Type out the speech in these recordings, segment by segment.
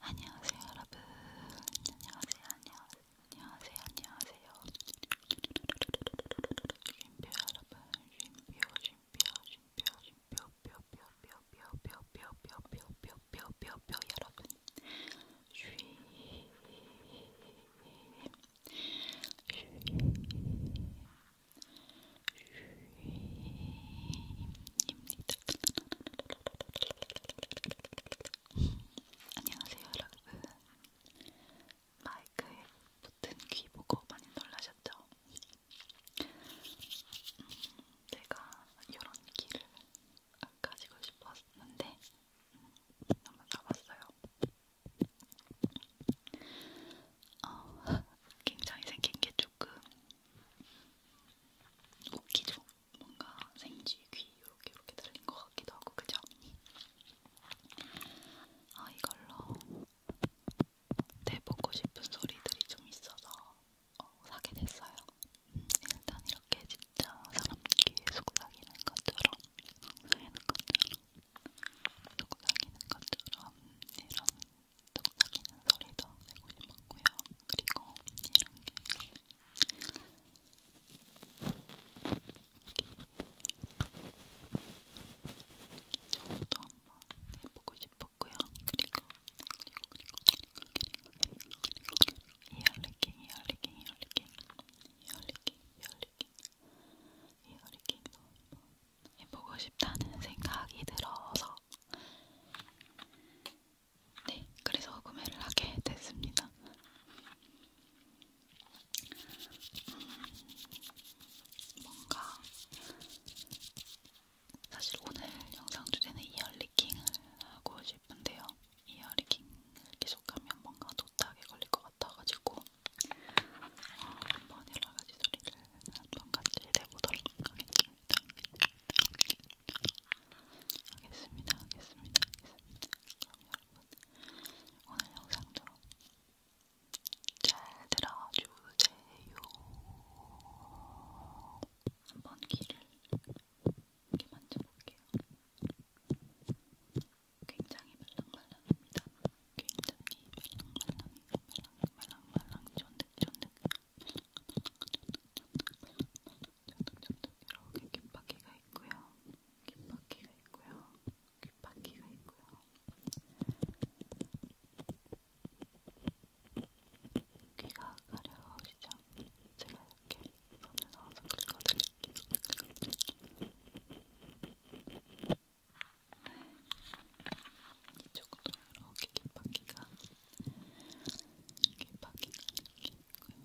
안녕하세요 여러분 안녕하세요 안녕하세요 안녕하세요 안녕하세요 쉼표 여러분 쉼표 쉼표 쉼표 쉼표 뾰뾰뾰뾰뾰뾰뾰뾰뾰뾰뾰 여러분 쉼 쉼, 아닙니다. 안녕하세요, 여러분. 마이크에 붙은 귀 보고 많이 놀라셨죠? 음, 제가 이런 귀를 가지고 싶었는데 음, 한번 사봤어요. 어, 굉장히 생긴 게 조금 웃기죠? 뭔가 생쥐 귀 이렇게 이렇게 달린 것 같기도 하고 그죠? 아 이걸로 대보고 싶은 소리들이 좀 있어서 어, 사게 됐어요. 음, 일단 이렇게 진짜 사람 귀에 속삭이는 것처럼 속삭이는 것처럼 속삭이는 것처럼 이런 뚝딱이는 소리도 내고 싶었고요. 그리고 이런 게 저도 한번 해보고 싶었고요. 그리고 이어리깅, 이어리깅, 이어리깅, 이어리깅, 이어리깅, 이어리깅도 한번 해보고 싶다는 생각이 들어서 네, 그래서 구매를 하게 됐습니다. 음, 뭔가 사실 오늘 영상 주제는 이어리킹을 하고 싶은데요. 이어리킹을 계속하면 뭔가 도닥에 걸릴 것 같아가지고 어, 한번 여러 가지 소리를 한 번 같이 해보도록 하겠습니다. 하겠습니다. 하겠습니다. 하겠습니다. 하겠습니다. 그럼 여러분 오늘 영상도 잘 들어주세요. 한번 귀를 이렇게 만져볼게요. 굉장히 말랑말랑합니다. 굉장히 말랑말랑해요. 말랑말랑 쫀득쫀득 이렇게 귓바퀴가 있고요. 귓바퀴가 있고요. 귓바퀴가 있고요. 귀가 가려우시죠? 제가 이렇게 손을 넣어서 긁어드릴게요. 이쪽도 이렇게 깃바퀴가 귀박이가 이렇게 있고요.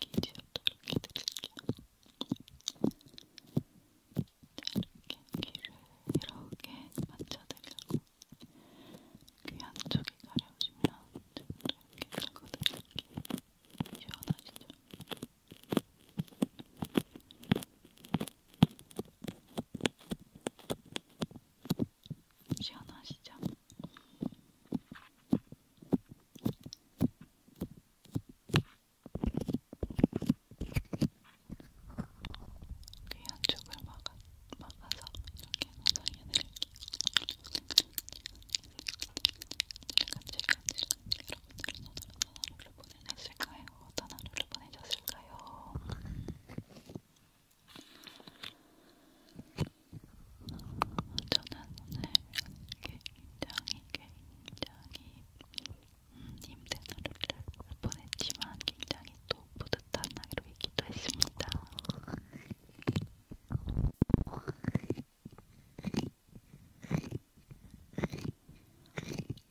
귀 뒤에도 이렇게 드릴게요. 자, 이렇게 귀를 이렇게 맞춰드리려고 귀 안쪽이 가려우시면 이렇게 긁어드릴게요. 시원하시죠? 시원하시죠? 귀 한쪽을 막아, 막아서 이렇게 사용해드릴게요. 제가 제가 여러분들 손으로 손으로 보여드릴게요. 보내셨을까요? 어떤 하루를 보내셨을까요? 저는 오늘 굉장히 굉장히 음, 힘든 하루를 보냈지만 굉장히 또 뿌듯한 하루 이기도 했습니다.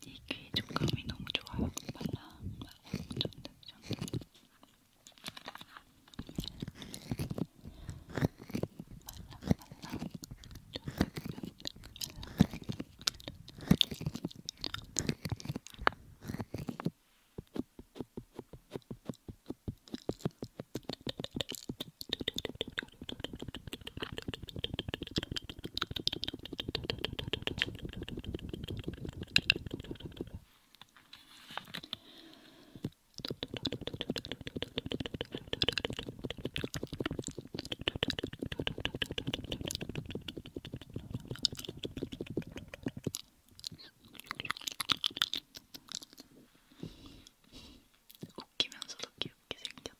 이게 촉감이 너무 좋아요. 말랑말랑 쫀득쫀득 말랑말랑 쫀득쫀득 말랑말랑 웃기면서도 귀엽게 생겼다.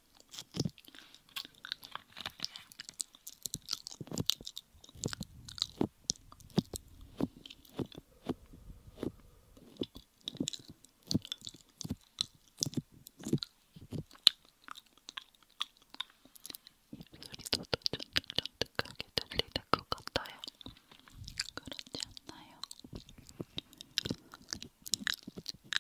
입소리도 쫀득쫀득하게 들리는 것 같아요. 그렇지 않나요?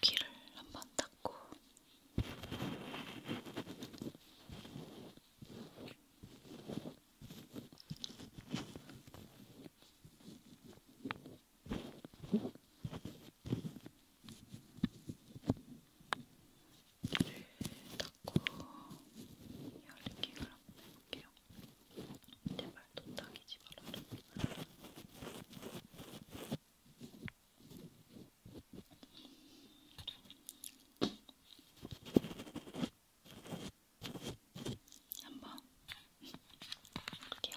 귀를 한번 닦고 닦고 열기를 한번 해볼게요. 제발 도닥이지 말아라. 한번 볼게요.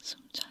숨차요.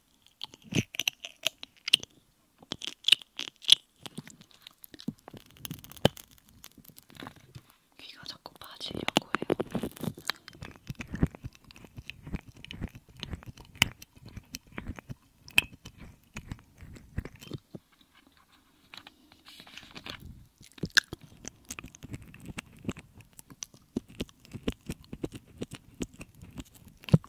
귀가 자꾸 빠지려고 해요.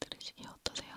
들으시기 어떠세요?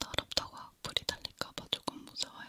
더럽다고 악플이 달릴까봐 조금 무서워요.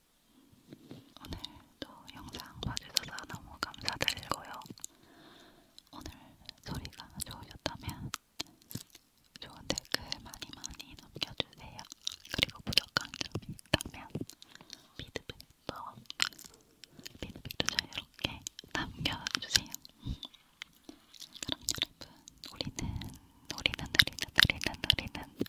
오늘도 영상 봐주셔서 너무 감사드리고요. 오늘 소리가 좋으셨다면 좋은 댓글 많이 많이 남겨주세요. 그리고 부족한 점이 있다면 피드백도 피드백도 자유롭게 남겨주세요. 그럼 여러분 우리는 우리는 우리는 우리는 우리는